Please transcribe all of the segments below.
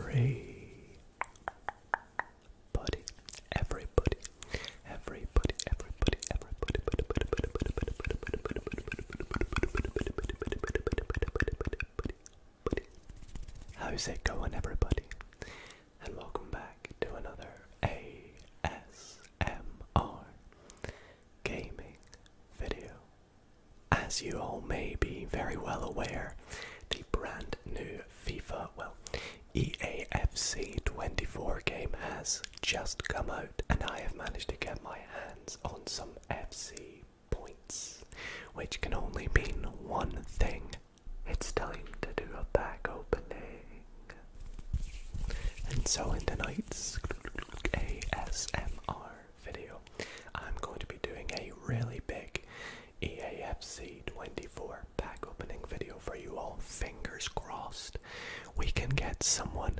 Hey, every buddy, everybody, everybody, everybody, everybody, How's it going, everybody? And welcome back to another ASMR gaming video. As you all may be very well aware, the brand new FIFA, well, EAFC 24 game has just come out, and I have managed to get my hands on some FC points, which can only mean one thing. It's time to do a back opening. And so in tonight's tonight's ASMR video, I'm going to be doing a really big EAFC 24 pack opening video for you all. Fingers crossed, we can get someone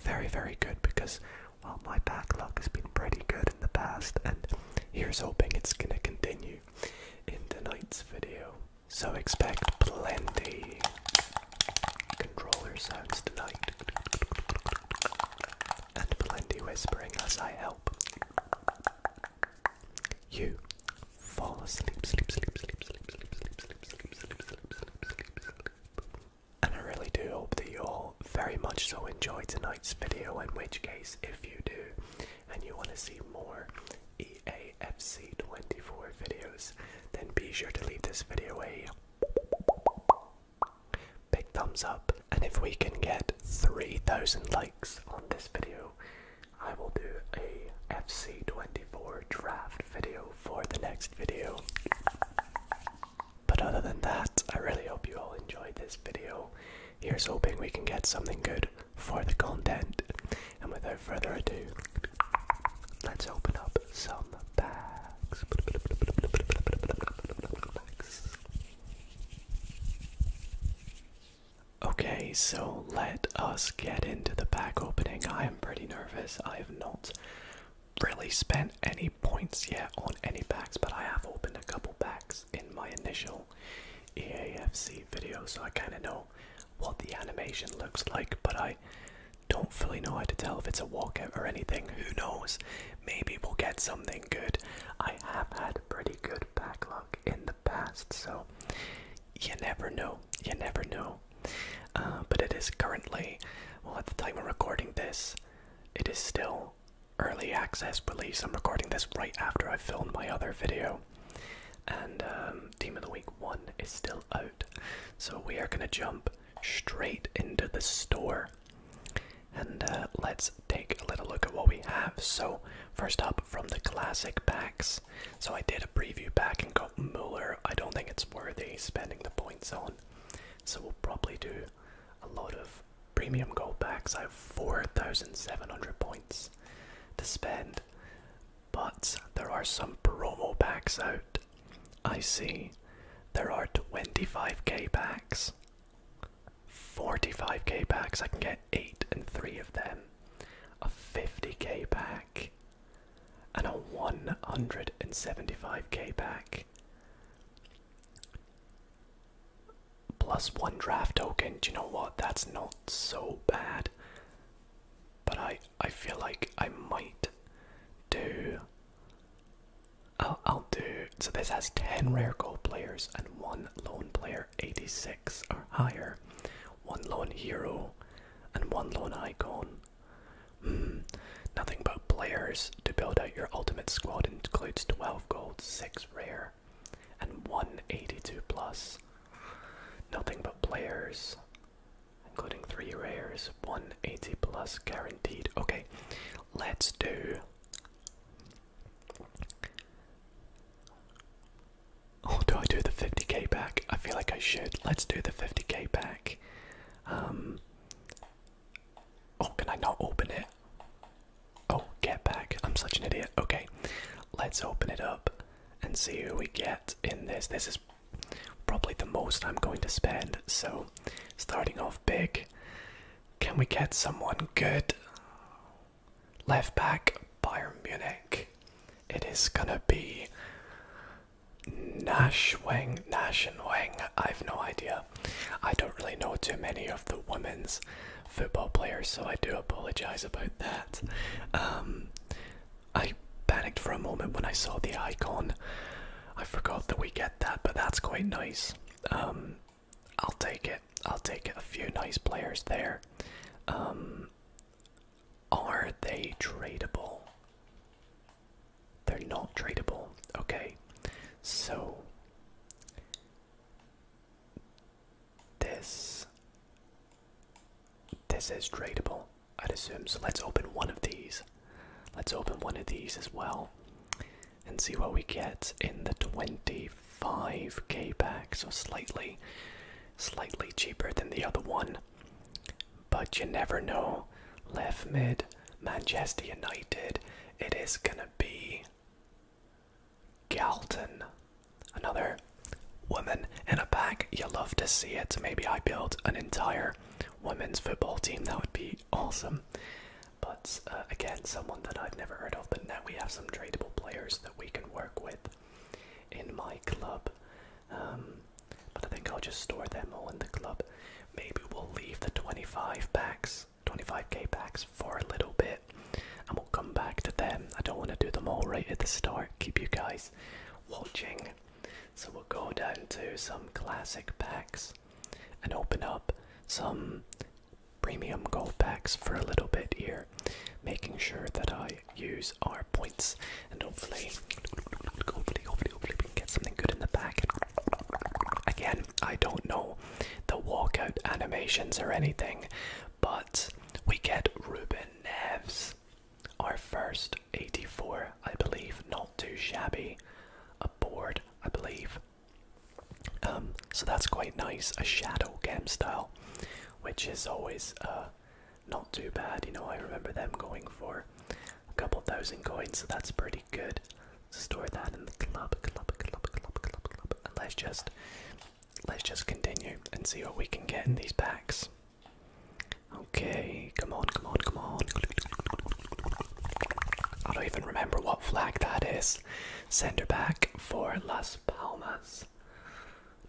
very, very good because, well, my pack luck has been pretty good in the past, and here's hoping it's going to continue in tonight's video. So expect plenty controller sounds tonight, and plenty whispering as I help you fall asleep, sleep, sleep, sleep, sleep, sleep, sleep, sleep, sleep, sleep, sleep, sleep, sleep. And I really do hope that you all very much so enjoy tonight's video, in which case, if you do and you want to see more EAFC24 videos, then be sure to leave this video a Big thumbs up, and if we can get 3,000 likes on this video, I will do a FC24 draft video for the next video. But other than that, I really hope you all enjoyed this video. Here's hoping we can get something good for the content. And without further ado, let's open up some bags. Okay, so let us get into the pack opening. I am pretty nervous. I have not really spent any points yet on any packs, but I have opened a couple packs in my initial EAFC video, so I kind of know what the animation looks like, but I don't fully know how to tell if it's a walkout or anything. Who knows? Maybe we'll get something good. I have had pretty good back luck in the past, so you never know. You never know. Uh, but it is currently, well, at the time of recording this, it is still early access release. I'm recording this right after I filmed my other video. And um, Team of the Week 1 is still out. So we are going to jump straight into the store. And uh, let's take a little look at what we have. So, first up from the classic packs. So, I did a preview pack and got Mueller. I don't think it's worthy spending the points on. So, we'll probably do a lot of premium gold packs. I have 4,700 points to spend. But there are some promo packs out I see there are 25k packs, 45k packs. I can get 8 and 3 of them, a 50k pack, and a 175k pack. Plus one draft token. Do you know what? That's not so bad. But I I feel like I might do I'll, do. So this has 10 rare gold players and one lone player, 86 or higher, one lone hero, and one lone icon. Hmm. nothing but players to build out your ultimate squad includes 12 gold, 6 rare, and 182 plus. Nothing but players including three rares, 180 plus guaranteed. Okay, let's do. Oh, do I do the 50k pack? I feel like I should. Let's do the 50k pack. Um. Oh, can I not open it? Oh, get back. I'm such an idiot. Okay, let's open it up and see who we get in this. This is probably the most I'm going to spend, so starting off big, can we get someone good? Left back, Bayern Munich. It is gonna be Nash, Nash, Wang, and Wang. I've no idea. I don't really know too many of the women's football players, so I do apologize about that. Um, I panicked for a moment when I saw the icon I forgot that we get that, but that's quite nice. Um, I'll take it. I'll take A few nice players there. Um, are they tradable? They're not tradable. Okay, so this this is tradable, I'd assume. So let's open one of these. Let's open one of these as well and see what we get in the 25k pack. So slightly, slightly cheaper than the other one. But you never know. Left mid, Manchester United. It is gonna be Galton. Another woman in a pack. You love to see it. Maybe I build an entire women's football team. That would be awesome. But uh, again, someone that I've never heard of, but now we have some tradable players that we can work with in my club. Um, but I think I'll just store them all in the club. Maybe we'll leave the 25 packs, 25k packs for a little bit, and we'll come back to them. I don't want to do them all right at the start, keep you guys watching. So we'll go down to some classic packs and open up some premium gold packs for a little bit here, making sure that I use our points and hopefully, hopefully, hopefully, hopefully we can get something good in the pack. Again, I don't know the walkout animations or anything, but we get Ruben Neves, our first 84, I believe, not too shabby. Aboard. I believe. Um, so that's quite nice, a shadow game style, which is always uh, not too bad. You know, I remember them going for a couple thousand coins, so that's pretty good. Store that in the club, club, club, club, club, club, and let's just let's just continue and see what we can get in these packs. Okay, come on, come on, come on. I don't even remember what flag that is. Center back for Las Palmas.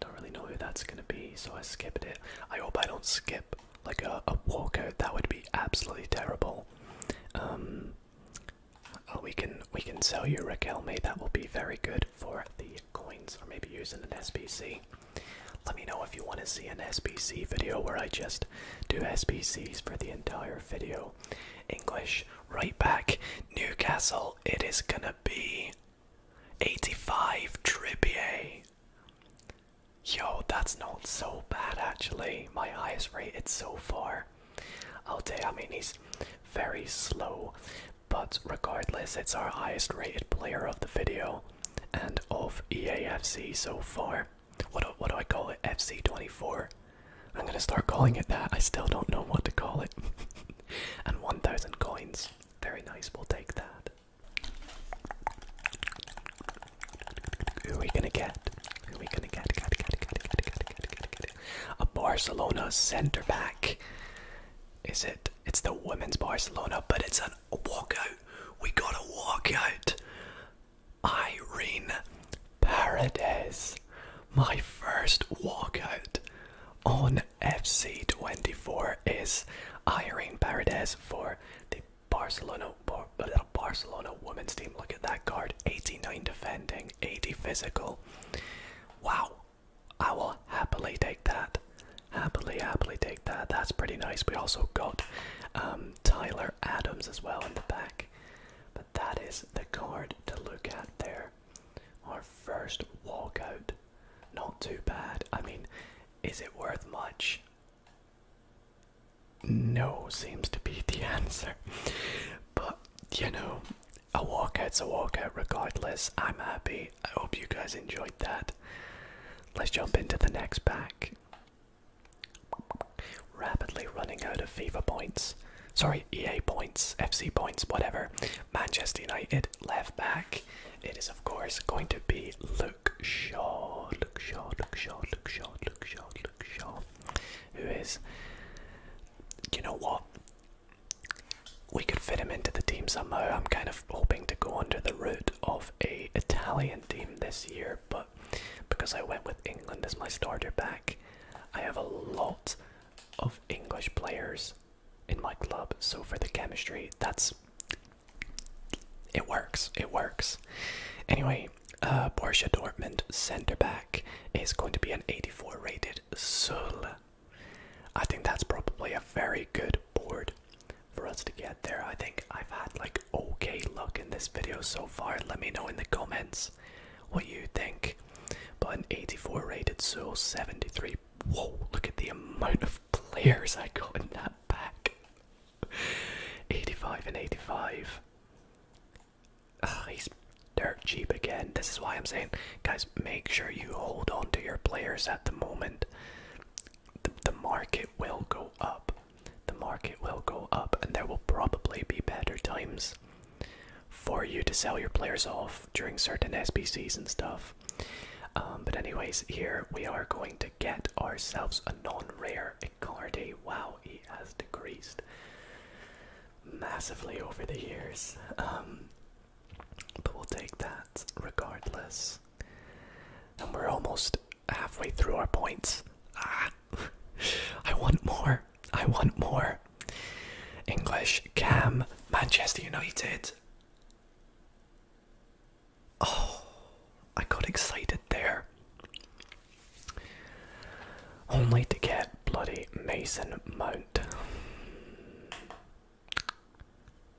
Don't really know who that's gonna be, so I skipped it. I hope I don't skip like a, a walkout. That would be absolutely terrible. Um, oh, we can we can sell you Raquel May. That will be very good for the coins, or maybe using an SBC. Let me know if you want to see an SBC video where I just do SPCs for the entire video. English, right back, Newcastle, it is gonna be 85 Trippier. Yo, that's not so bad actually. My highest rated so far. I'll tell you, I mean, he's very slow, but regardless, it's our highest rated player of the video and of EAFC so far. What do, what do I call it? FC24. I'm gonna start calling it that. I still don't know what to call it. and 1,000 coins. Very nice. We'll take that. Who are we gonna get? Who are we gonna get. A Barcelona centre back. Is it? It's the women's Barcelona, but it's a walkout. We got a walkout. Irene Paredes, my first walkout on FC24 is Irene Paredes for the Barcelona Bar Barcelona women's team. Look at that card, 89 defending, 80 physical. Wow, I will happily take that. Happily, happily take that. That's pretty nice. We also got um, Tyler Adams as well in the back. But that is the card to look at there. Our first walkout. Not too bad. I mean, is it worth much? No, seems to be the answer. But, you know, a walkout's a walkout regardless. I'm happy. I hope you guys enjoyed that. Let's jump into the next pack. Rapidly running out of fever points. Sorry, EA points, FC points, whatever. Manchester United left back. It is, of course, going to be Luke Shaw. Luke Shaw, Luke Shaw, Luke Shaw, Luke Shaw, Luke Shaw. Who is. You know what? We could fit him into the team somehow. I'm kind of hoping to go under the root of a Italian team this year, but because I went with England as my starter back, I have a lot of English players in my club. So for the chemistry, that's it works. It works. Anyway, uh, Borussia Dortmund centre back is going to be an 84 rated Sul. I think that's probably a very good board for us to get there. I think I've had like okay look in this video so far. Let me know in the comments what you think. But an 84 rated Soul 73. Whoa, look at the amount of players I got in that pack. 85 and 85. Ah, he's dirt cheap again. This is why I'm saying, guys, make sure you hold on to your players at the moment. the market will go up the market will go up and there will probably be better times for you to sell your players off during certain SPCs and stuff. Um, but anyways, here we are going to get ourselves a non-rare Icardi. Wow, he has decreased massively over the years. Um, but we'll take that regardless. And we're almost halfway through our points. Ah, I want more. I want more. English, Cam, Manchester United. Oh, I got excited there. Only to get bloody Mason Mount.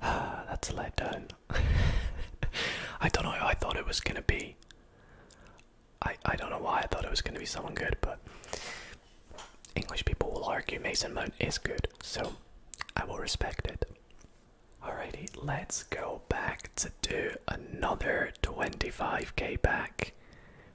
Ah, that's a letdown. I don't know. I thought it was gonna be. I I don't know why I thought it was going to be someone good, but English people will argue Mason Mount is good, so I will respect it. Alrighty, let's go back to do another 25k back.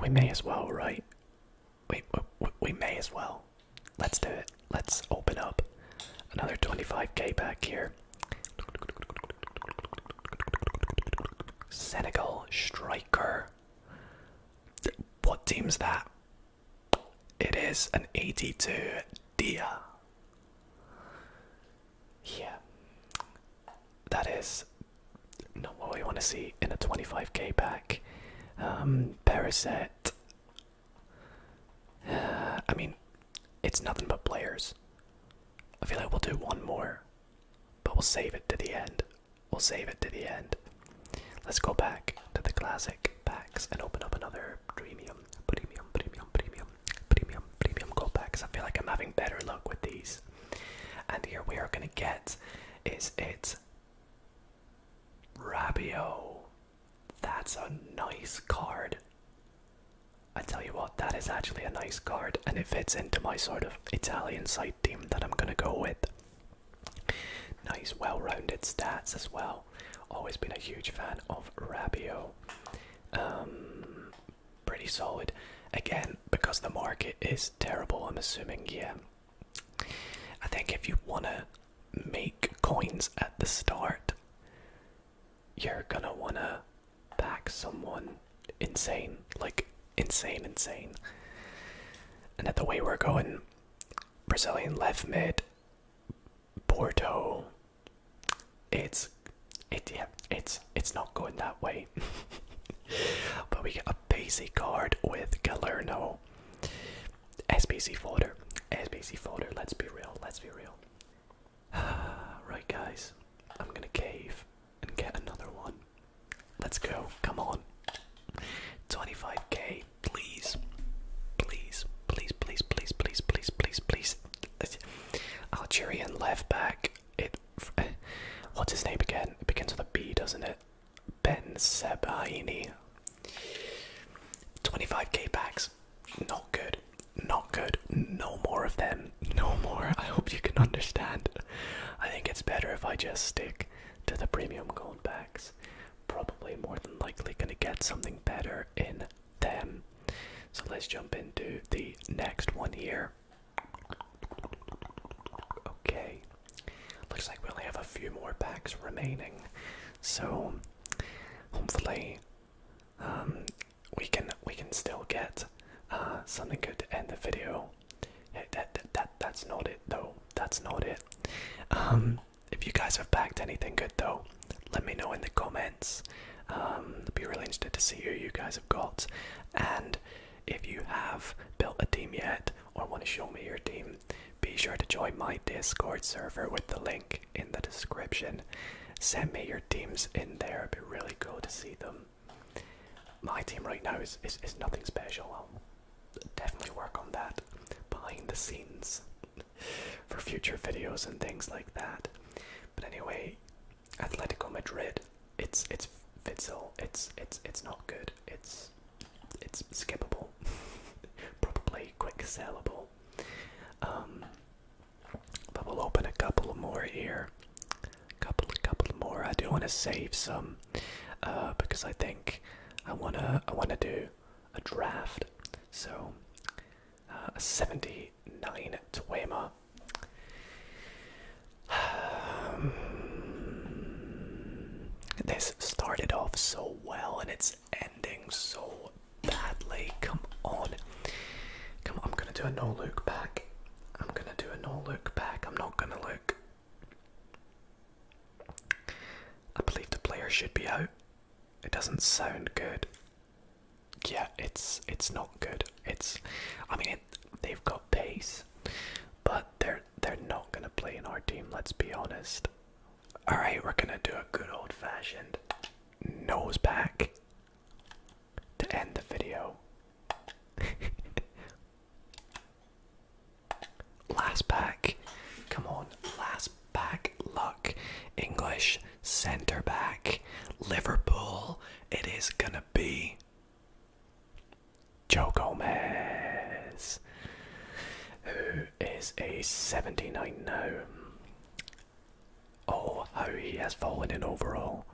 We may as well, right? We, we, we may as well. Let's do it. Let's open up another 25k back here. Senegal striker. What team's that? It is an 82 Dia. Yeah. That is not what we want to see in a 25k pack. Um, uh, I mean, it's nothing but players. I feel like we'll do one more but we'll save it to the end. We'll save it to the end. Let's go back to the classic packs and open up another premium, premium, premium, premium, premium, premium gold packs. I feel like I'm having better luck with these. And here we are gonna get is it Rabio. That's a nice card. I tell you what, that is actually a nice card, and it fits into my sort of Italian side team that I'm gonna go with. Nice, well-rounded stats as well. Always been a huge fan of Rabio. Um, pretty solid. Again, because the market is terrible, I'm assuming. Yeah, I think if you wanna make coins at the start, you're gonna wanna back someone insane, like insane, insane. And at the way we're going, Brazilian left mid, Porto. It's, it yeah, it's it's not going that way. but we get a basic card with Galerno. S P C folder, S P C folder. Let's be real. Let's be real. right, guys, I'm gonna cave and get another one. Let's go. Come on. 25k, please. Please, please, please, please, please, please, please, Algerian left back. It. What's his name again? It begins with a B, doesn't it? Ben Sebaini. 25k packs. Not good. Not good. No more of them no more. I hope you can understand. I think it's better if I just stick to the premium gold packs. Probably more than likely gonna get something better in them. So let's jump into the next one here. Okay. Looks like we only have a few more packs remaining. So hopefully um, we can we can still get uh, something good to end the video that, that that that's not it though. That's not it. Um, if you guys have packed anything good though, let me know in the comments. Um, I'd be really interested to see who you guys have got, and if you have built a team yet or want to show me your team, be sure to join my Discord server with the link in the description. Send me your teams in there. It'd be really cool to see them. My team right now is, is, is nothing special. I'll definitely work on that behind the scenes for future videos and things like that. But anyway, Atletico Madrid, it's it's Fitzel, it's it's it's not good. It's it's skippable, probably quick sellable. Um, but we'll open a couple more here couple couple more. I do want to save some uh, because I think I wanna I wanna do a draft. So uh, 79 Twema. Um, this started off so well and it's ending so badly. Come on. Come on, I'm gonna do a no look back. I'm gonna do a no I'm not gonna look. I believe the player should be out. It doesn't sound good. Yeah, it's it's not good. It's, I mean, they've got pace, but they're they're not gonna play in our team. Let's be honest. All right, we're gonna do a good old fashioned nose back to end the video. last pack. Come on. Last pack luck. English centre back. Liverpool. It is going to be Joe Gomez. Who is a 79 now? Oh, how he has fallen in overall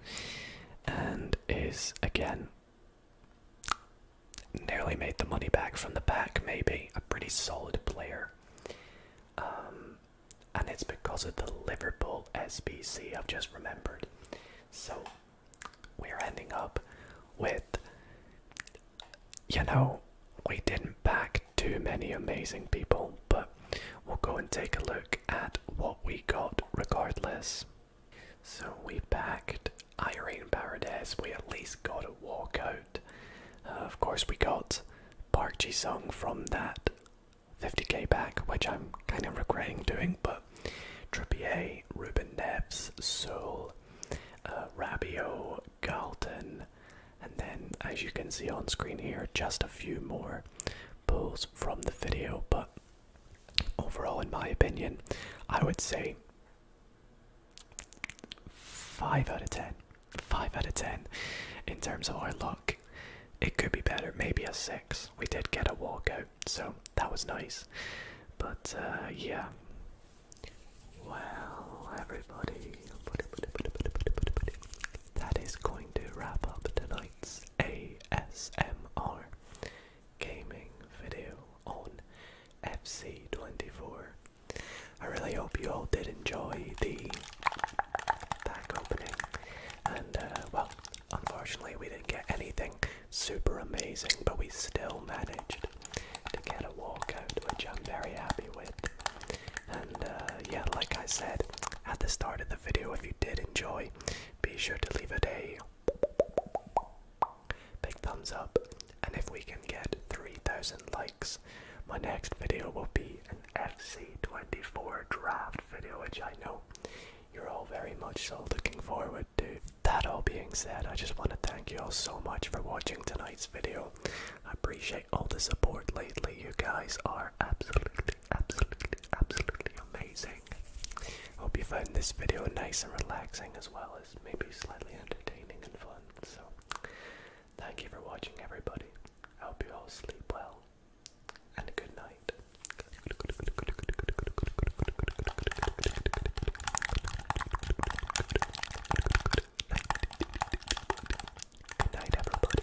and is again Nearly made the money back from the back, maybe. A pretty solid player. Um, and it's because of the Liverpool SBC, I've just remembered. So we're ending up with, you know, we didn't back too many amazing people, but we'll go and take a look at what we got regardless. So we packed Irene Paradise. We at least got a walkout. Uh, of course, we got Park Ji Sung from that 50k back, which I'm kind of regretting doing, but Trippier, Ruben Neves, Soul, uh, Rabio, Galton, and then as you can see on screen here, just a few more pulls from the video. But Overall, in my opinion, I would say 5 out of 10. 5 out of 10. In terms of our luck, it could be better, maybe a 6. We did get a walkout, so that was nice. But uh, yeah. Well, everybody, that is going to wrap up tonight's ASMR gaming video on FC24. I really hope you all did enjoy the pack opening, and uh, well, unfortunately, we didn't get anything super amazing, but we still managed to get a walkout, which I'm very happy with. And uh, yeah, like I said at the start of the video, if you did enjoy, be sure to leave a a Big thumbs up, and if we can get 3,000 likes, my next video will be an FC24 draft video, which I know you're all very much looking forward to. That all being said, I just want to thank you all so much for watching tonight's video. I appreciate all the support lately. You guys are absolutely, absolutely, absolutely amazing listening. Hope you find this video nice and relaxing as well as maybe slightly entertaining and fun. So, thank you for watching, everybody. I hope you all sleep well and good night. Good night, everybody.